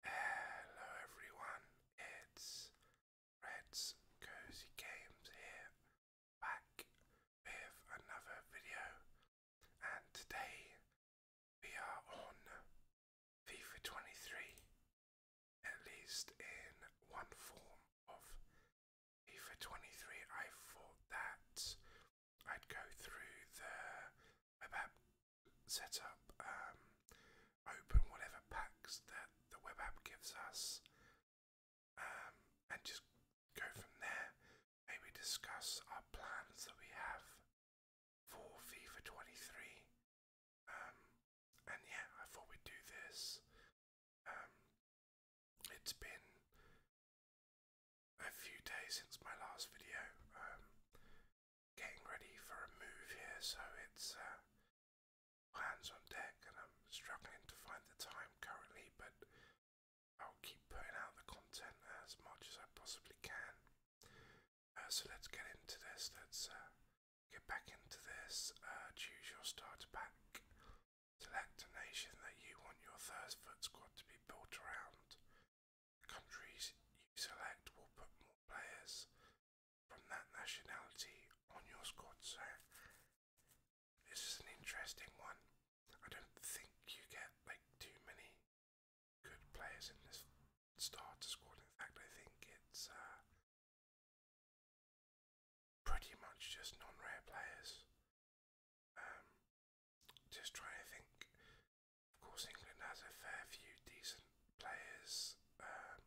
Hello everyone, it's Red's Cozy Games here, back with another video, and today we are on FIFA 23, at least in one form of FIFA 23. I thought that I'd go through the web app setup, um, open whatever packs that the web app gives us, um, and just go from there. Maybe discuss our plans that we have for FIFA 23. Um, and yeah, I thought we'd do this. it's been a few days since my last video. Um, getting ready for a move here, so it's uh, hands on deck, and I'm struggling to find the time currently, but I'll keep putting out the content as much as I possibly can. Uh, so let's get into this. Let's uh, get back into this. choose your starter pack. Select a nation that you want your Thirst Foot squad to be built around countries you select will put more players from that nationality on your squad. So this is an interesting one. I don't think you get like too many good players in this starter squad. In fact, I think it's uh, pretty much just non-rare players. Um, just trying to think. Of course, England has a fair few decent players, um,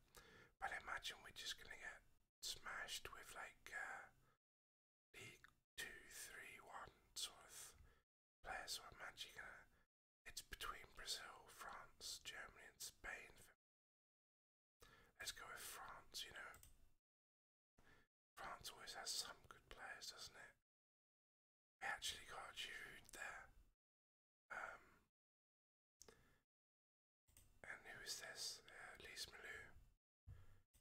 but imagine we're just going to get smashed with like League uh, Two, Three, One sort of players. So imagine gonna. It's between Brazil, France, Germany, and Spain. Let's go with France. You know, France always has some good players, doesn't it? We actually got Jude there. Um, and who is this? Uh, Lise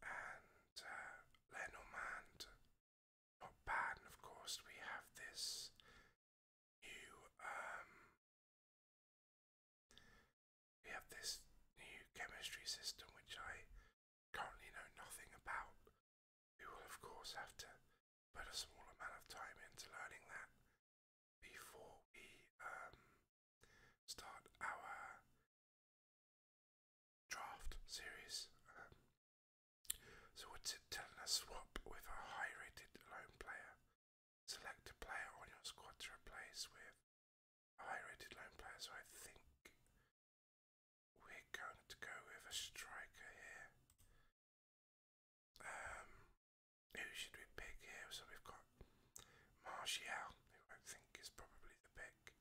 And uh, Lenormand. Not bad. And of course, we have this new. Um, we have this new chemistry system which I currently know nothing about. We will, of course, have to put a small amount of time into learning that before we um, start our draft series. Um, so, what's it telling us? Swap with a high rated lone player. Select a player on your squad to replace with a high rated lone player. So, I think we're going to go with a striker here. Um, who should we pick here? So we've got Martial, who I think is probably the pick.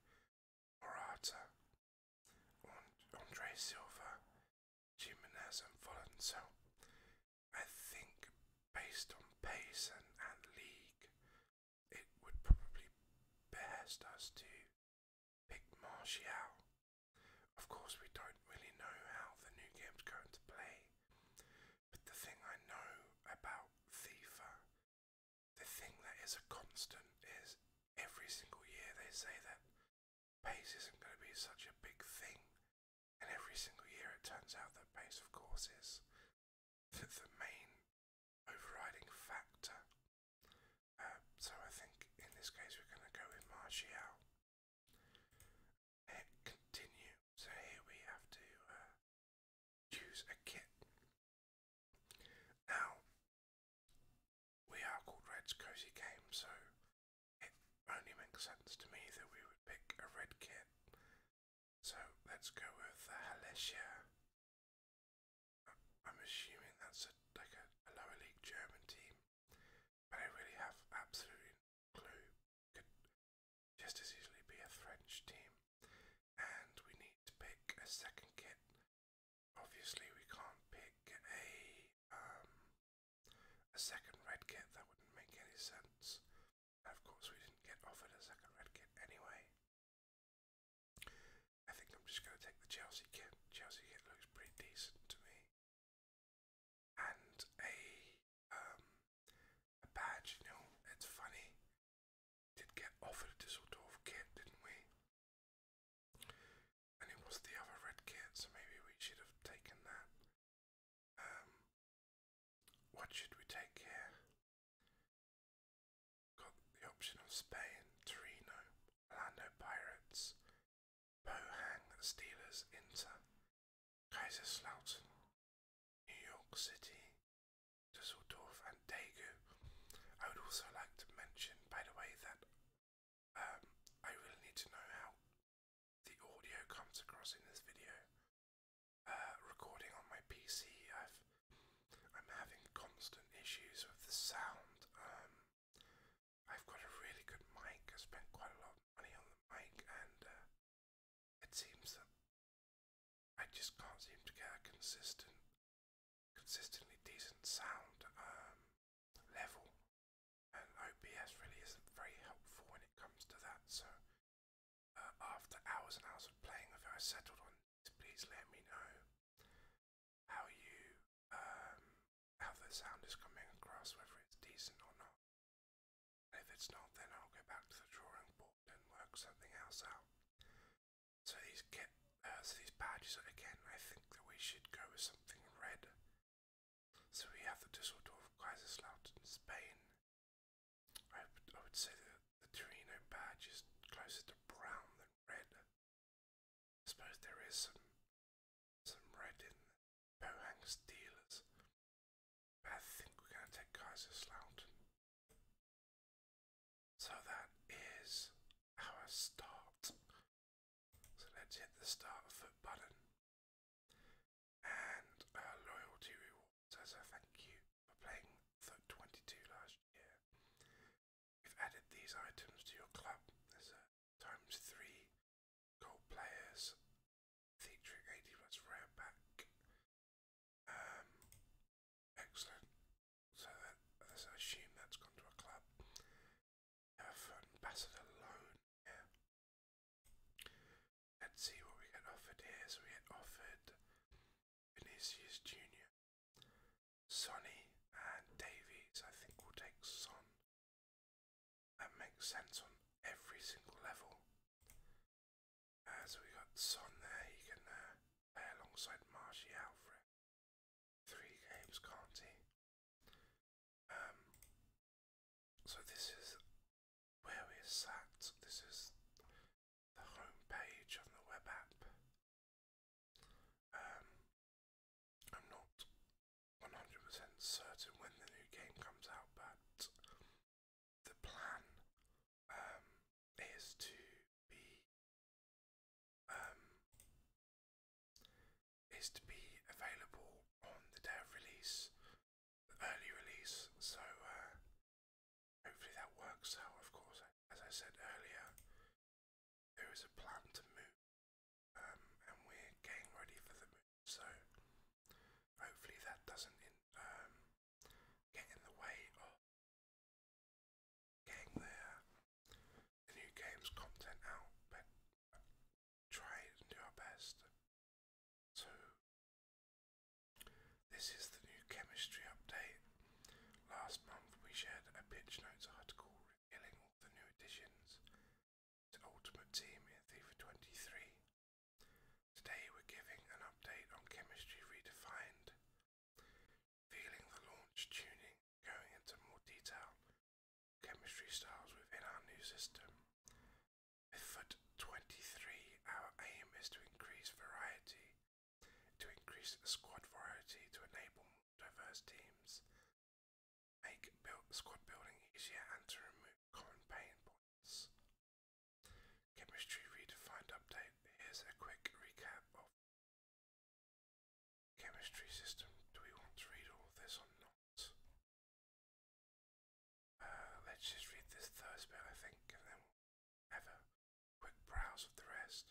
Morata, Andre Silva, Jimenez, and Fulham. I think based on pace and league, it would probably best us to pick Martial. Of course, we don't really know how the new game's going to play, but the thing I know about FIFA, the thing that is a constant, is every single year they say that pace isn't going to be such a big thing, and every single year it turns out that pace, of course, is the, the main overriding factor. Um, so I think in this case we're going to go with Martial. continue. So here we have to uh, choose a kit. Now, we are called Red's Cozy Game, so it only makes sense to me that we would pick a red kit. So let's go with the Halesia I'm assuming that's a, like a, a lower league German team, but I really have absolutely no clue. Could just as easily be a French team, and we need to pick a second kit. Obviously, we can't pick a um, a second red kit. That wouldn't make any sense. And of course, we didn't get offered a second red kit anyway. I think I'm just going to take the Chelsea kit. Chelsea kit looks pretty decent to me. And a um, a badge, you know, it's funny. did get offered a Düsseldorf kit, didn't we? And it was the other red kit, so maybe we should have taken that. Um, what should we take here? Got the option of Spain, Torino, Orlando Pirates, Pohang Steelers, Inter, Kaiserslautern, New York City, Dusseldorf, and Daegu. I would also like to mention, by the way, that um, I really need to know how the audio comes across in this video. Uh, recording on my PC, I've I'm having constant issues with the sound. Um, I've got a really good mic. I spent quite a lot of money on the mic, and uh, it seems that I just can't seem to get a consistent, consistently decent sound um, level. And OBS really isn't very helpful when it comes to that. So uh, after hours and hours of playing with it, I settled on please let me know how you um, how the sound is coming across, whether it's decent or not. if it's not, then I'll go back to the drawing board and work something else out. So these uh, so these badges again. I think that we should go with something red. So we have the Dusseldorf Kaiserslautern, Spain. I, would say that the Torino badge is closer to brown than red. I suppose there is some some red in the Pohang But I think we're going to take Kaiserslautern. So that is our start. So let's hit the start foot button. And our uh, loyalty reward so, so thank you for playing Foot 22 last year. We've added these items to your club. There's a times 3 gold players featuring 80 plus rare back. Um, excellent. So, that, I assume that's gone to a club. We ambassador loan here. Let's see what we get offered here. So we get offered Vinicius Jr. Sonny and Davies, I think will take Son. That makes sense on every single level. Uh, we got Son there, he can uh, play alongside Martial for three games, can't he? Um, so this is where we're This is the home page of the web app. Um, I'm not 100% certain when the new game comes out, but the plan um, is to be um, is to be available on the day release, the early release. So uh, Hopefully that works So, of course. As I said earlier, there is a plan to move, um, and we're getting ready for the move, so hopefully that doesn't um, get in the way of getting the, the new game's content out, but try and do our best. So this is the new chemistry update. Last month we shared a pitch notes article revealing all the new additions to Ultimate Team in FIFA 23. Today we're giving an update on Chemistry Redefined, feeling the launch tuning, going into more detail, chemistry styles within our new system. With foot 23, our aim is to increase variety, to increase squad variety to enable diverse teams, make squad building easier, and to remove common pain points. Chemistry Redefined update. Here's a quick recap of chemistry system. Do we want to read all this or not? Uh, let's just read this first bit, I think, and then have a quick browse of the rest.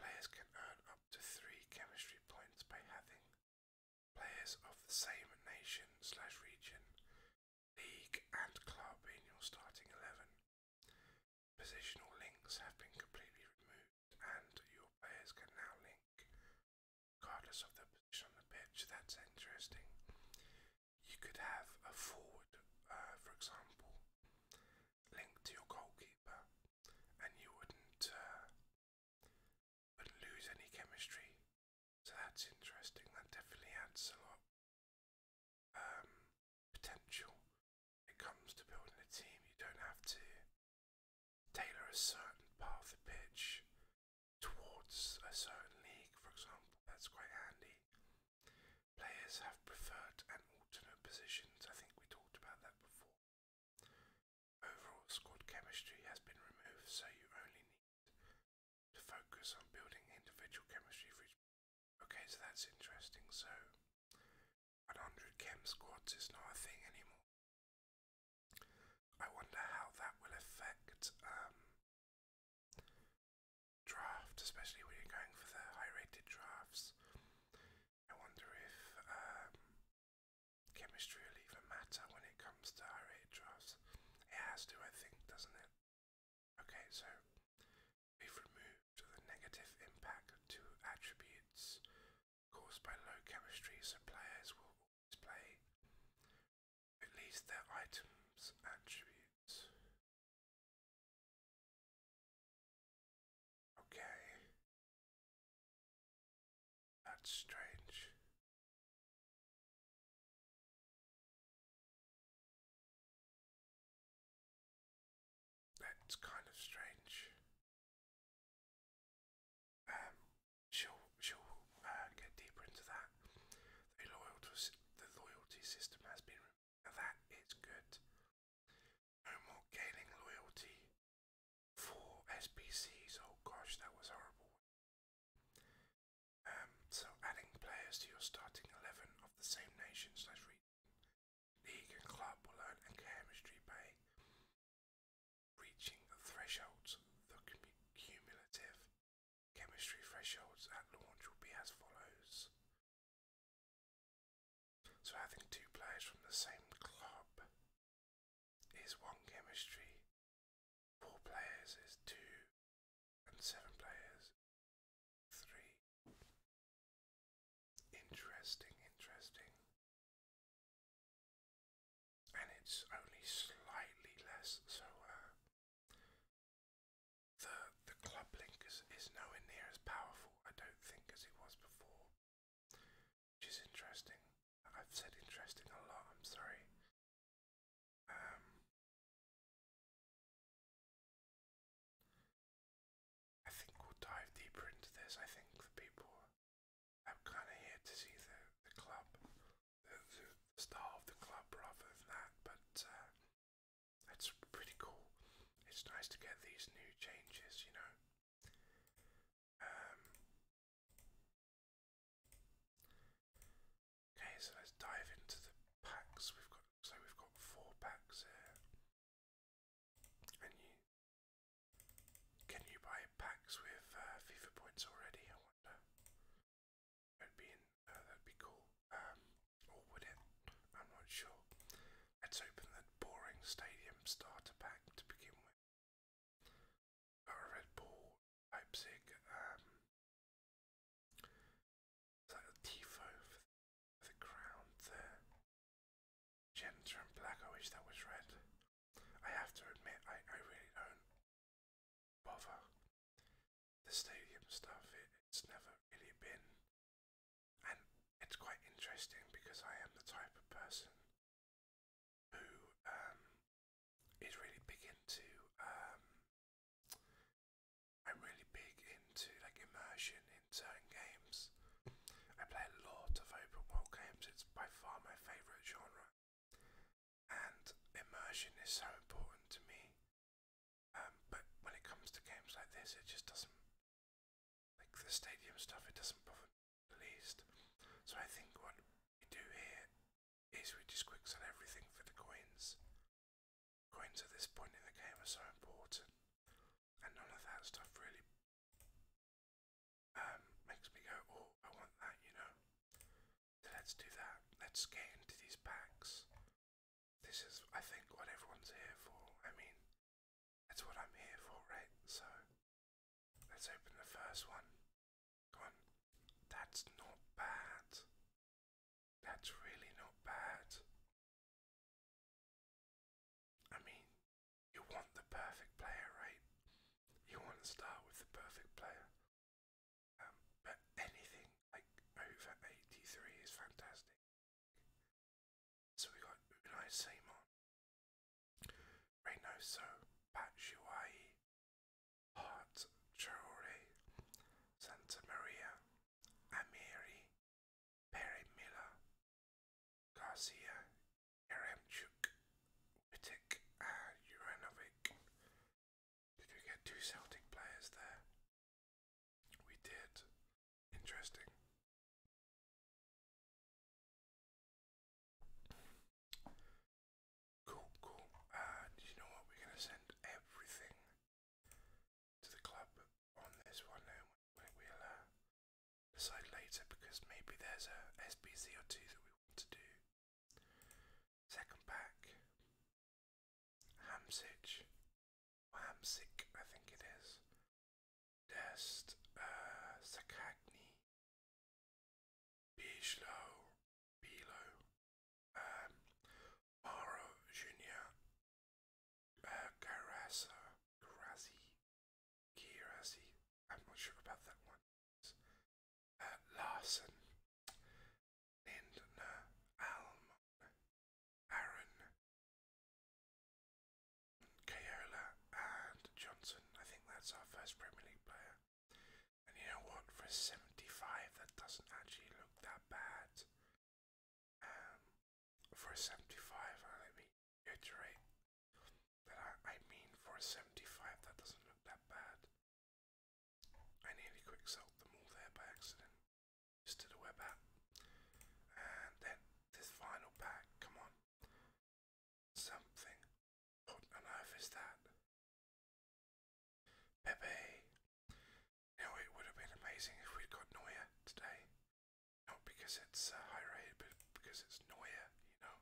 Players can earn up to three chemistry points by having players of the same nation slash region, league, and club in your starting eleven. Positional links have been completely removed, and your players can now link regardless of the position on the pitch. That's interesting you could have a forward, uh, for example, linked to your goalkeeper, and you wouldn't uh, wouldn't lose any chemistry. So that's interesting. That definitely adds a lot um, potential. When it comes to building a team. You don't have to tailor a certain part of the pitch towards a certain league, for example. That's quite handy. Players have preferred and alternate positions. I think we talked about that before. Overall squad chemistry has been removed, so you only need to focus on building individual chemistry for each. Okay, so that's interesting. So, 100 chem squads is not a thing anymore. I wonder how that will affect um, draft, especially when you're going for the high-rated drafts. I wonder if um, chemistry will even matter when it comes to high-rated drafts. It has to, I think, doesn't it? Okay, so we've removed the negative impact to attributes caused by low chemistry, so players will always play release their items attributes. Okay. That's strange. That's kind of strange. Um, shall shall uh, get deeper into that. The loyalty, system has been that is good. No more gaining loyalty for SPCs. Oh gosh, that was horrible. Um, so adding players to your starting 11 of the same nation slash league and club will earn a chemistry by reaching the thresholds that can be cumulative Chemistry thresholds at launch will be as follows. So having two players from the same club is one chemistry, four players is two, and seven players three. Interesting, interesting and it's only slightly less. So uh, the the club link is, is nowhere near as powerful, I don't think, as it was before, which is interesting. I've said interesting a lot. I'm sorry. Um, I think we'll dive deeper into this. I think the people. I'm kind of here to see the the club the star of the club rather than that, but that's uh, pretty cool. It's nice to get these new changes, you know. Um, okay, so let's dive into the packs. We've got so we've got four packs here, and you can you buy packs with uh, FIFA points already? I wonder. That'd be uh, that'd be cool. Um, or would it? I'm not sure. Let's open the boring stadium starter pack to begin with. Got a Red Bull, Leipzig, um, is that a Tifo for the, for there? Genta and black, I wish that was red. I have to admit, I, I really don't bother. The stadium stuff, it's never really been. And it's quite interesting because I am the type of person who um, is really big into. Um, I'm really big into like immersion in turn games. I play a lot of open world games. It's by far my favorite genre and immersion is so important to me. Um, but when it comes to games like this, it just doesn't like the stadium stuff. It doesn't bother me the least. So I think what we do here is we just quick sell everything for the coins. Coins at this point in the game are so important, and none of that stuff really um, makes me go, oh, I want that, you know. So let's do that. Let's get into these packs. This is, I think, what everyone's here for. I mean, that's what I'm here for, right? So, let's open the first one. Come on. That's not bad. That's really not bad. I mean, you want the perfect player, right? You want to start with the perfect player. Um, but anything like over 83 is fantastic. So we got Unai Simon, Reynoso, Batshuayi, Hart, Traore, Santa Amiri, Perry Miller, Garcia, Yaremchuk, Wittek, Uranovic. Did we get two Celtic players there? We did. Interesting. Cool, cool. And uh, you know what? We're going to send everything to the club on this one now. We'll decide later because maybe there's a SBC or two that we want to do Second pack, Hamsich, or I think it is. Dest, uh, Sakagni, Bijlo, um, Maro Jr., uh, Carasso, Kirasi. I'm not sure about that one. Uh, Larson, Lindner, uh, Almon, Aaron, Kayola, and Johnson. I think that's our first Premier League player. And you know what? For 75, that doesn't actually look that bad. Um, for a 75, uh, let me reiterate that I, mean, for a 75, that doesn't look that bad. I nearly quick sold them all there by accident. Just did a web app. And then this final pack, come on. Something. What on earth is that? Pepe. Now it would have been amazing if we'd got Neuer today. Not because it's uh, high rated, but because it's Neuer, you know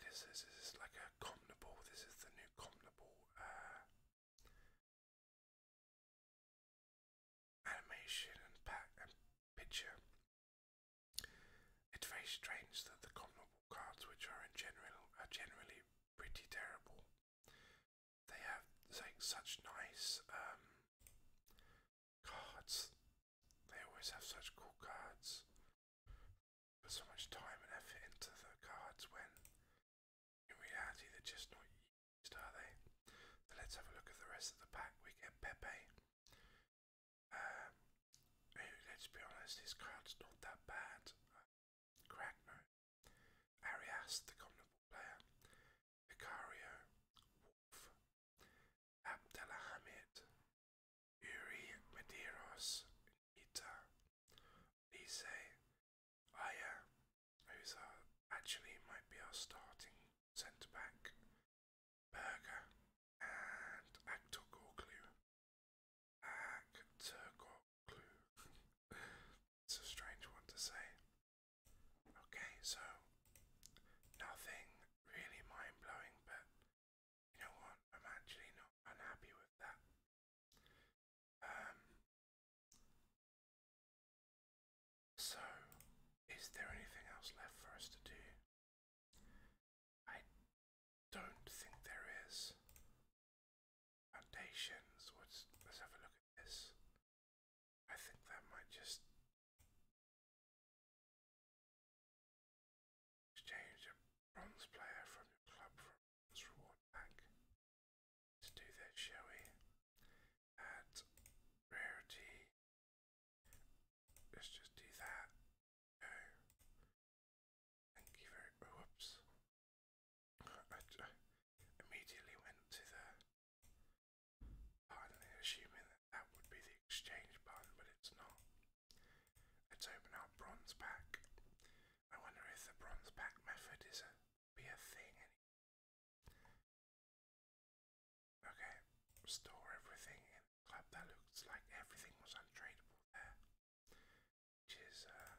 this? Is like a Comnable? This is the new Comnable uh, animation and picture. It's very strange that the Comnable cards, which are in general are generally pretty terrible, they have like such nice um, cards. They always have such cool cards. Put so much time and effort into the cards when in reality they're just not used, are they? So let's have a look at the rest of the pack. We get Pepe. Um, let's be honest, his card's not that bad. Crackno, Arias, the common player, Vicario, Wolf, Abdelhamid, Uri Medeiros, Nita, Lise, Aya, who's our, actually might be our starting centre back, Berger, and Aktogoglu. Aktogoglu. it's a strange one to say. Okay, so nothing really mind blowing, but you know what? I'm actually not unhappy with that. Um, so, is there anything else left for us to do? I don't think there is. Foundations. What's, let's have a look at this. I think that might just Exchange a bronze player from your club for a bronze reward pack. Let's do this, shall we? Add rarity. Let's just do that. Go. Thank you very oh, whoops. I immediately went to the Partly assuming that that would be the exchange button, but it's not. Let's open our bronze pack. I wonder if the bronze pack method is a be a thing anymore. Okay, store everything in the club. That looks like everything was untradeable there. Which is uh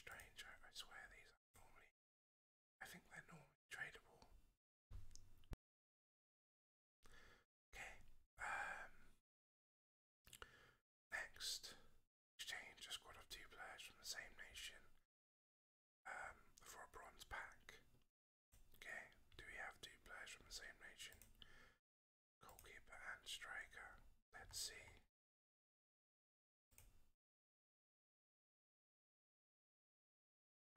strange, I, I swear these are normally I think they're normally tradable. Okay. Um, next, exchange a squad of two players from the same nation um, for a bronze pack. Okay. Do we have two players from the same nation? Goalkeeper and striker. Let's see.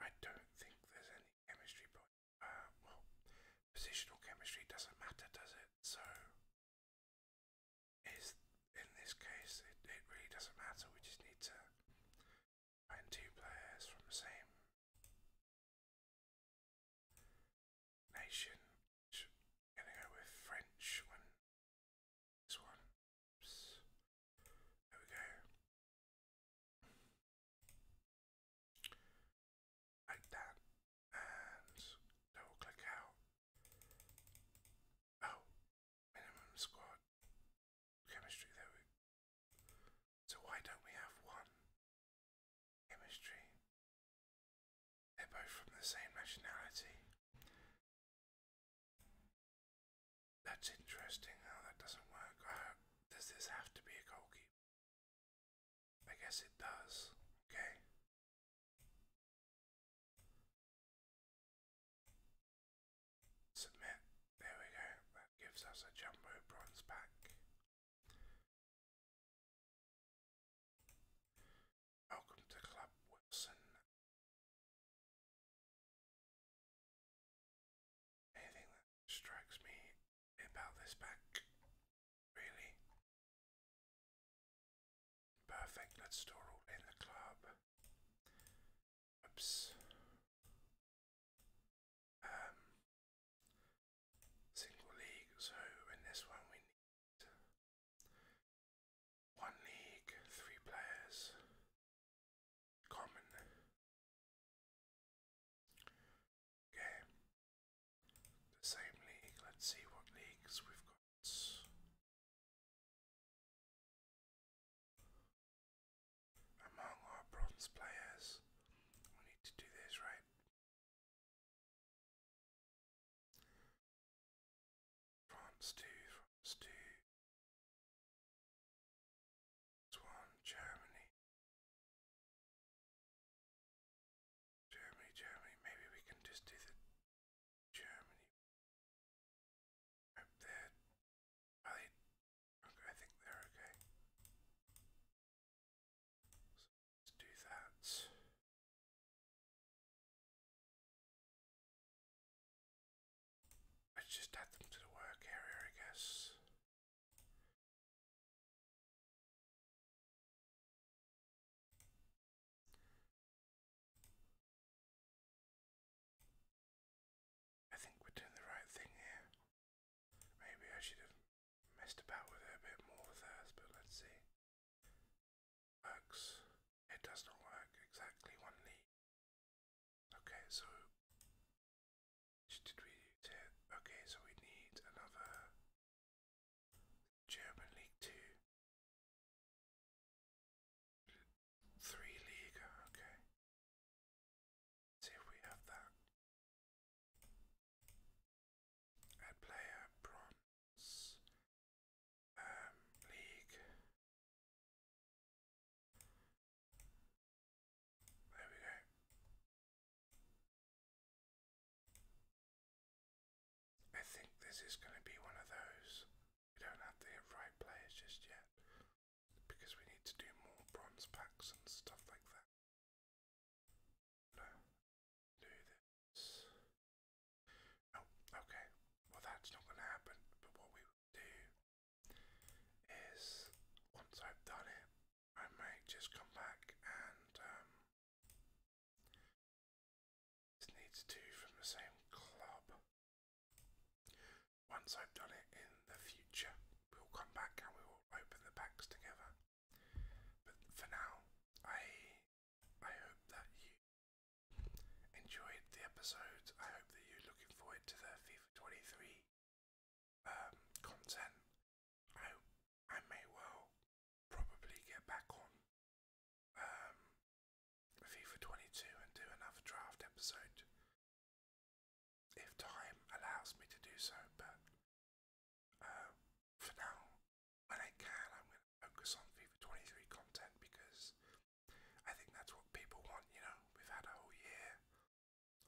I don't think there's any chemistry, but uh, well, positional chemistry doesn't matter, does it? So, is in this case, it, really doesn't matter. We just need to find two players from the same nation. gonna go with French one. This one. There we go. Like that. And double click out. Oh, minimum squad chemistry. There we So why don't we have one chemistry? They're both from the same nationality. That's interesting. How that doesn't work. Uh, does this have to be a goalkeeper? I guess it does. Okay. Submit. There we go. gives us a jumbo bronze back. Welcome to Club Wilson. Anything that strikes me about this pack, really. Perfect, let's store all in the club. Oops. Um, single league, so in this one we need one league, three players, common okay the same league let's see what leagues we've got among our bronze players we need to do this right France 2 France this Germany. Germany, Germany. Maybe we can just do the Germany up there. I think they're okay. let's do that. Let's just add them to the work area, I guess. I think we're doing the right thing here. Maybe I should have messed about with it a bit more with hers, but let's see. Works. It does not work exactly one need. Okay, so did we Okay, so we need another German League Two, three league. Okay, see if we have that. Add player bronze um, league. There we go. I think this is going to be one of those. We don't have the right players just yet because we need to do more bronze packs and stuff like that. No, do this. Oh, okay. Well, that's not going to happen. But what we do is once I've done it, I may just come back and um, this needs two from the same club. Once I've done it in the future, we'll come back and we will open the packs together. But for now, I I hope that you enjoyed the episode. I hope that you're looking forward to the FIFA 23 um, content. I I may well probably get back on um, FIFA 22 and do another draft episode if time allows me to do so. But uh, for now, when I can, I'm going to focus on FIFA 23 content because I think that's what people want, you know. We've had a whole year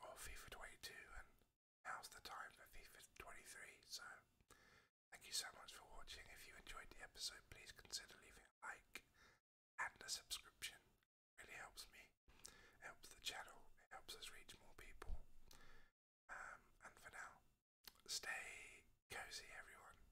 of FIFA 22, and now's the time for FIFA 23. So, thank you so much for watching. If you enjoyed the episode, please consider leaving a like and a subscription. really helps me, helps the channel, helps us reach more people. Um, and for now, stay cozy, everyone.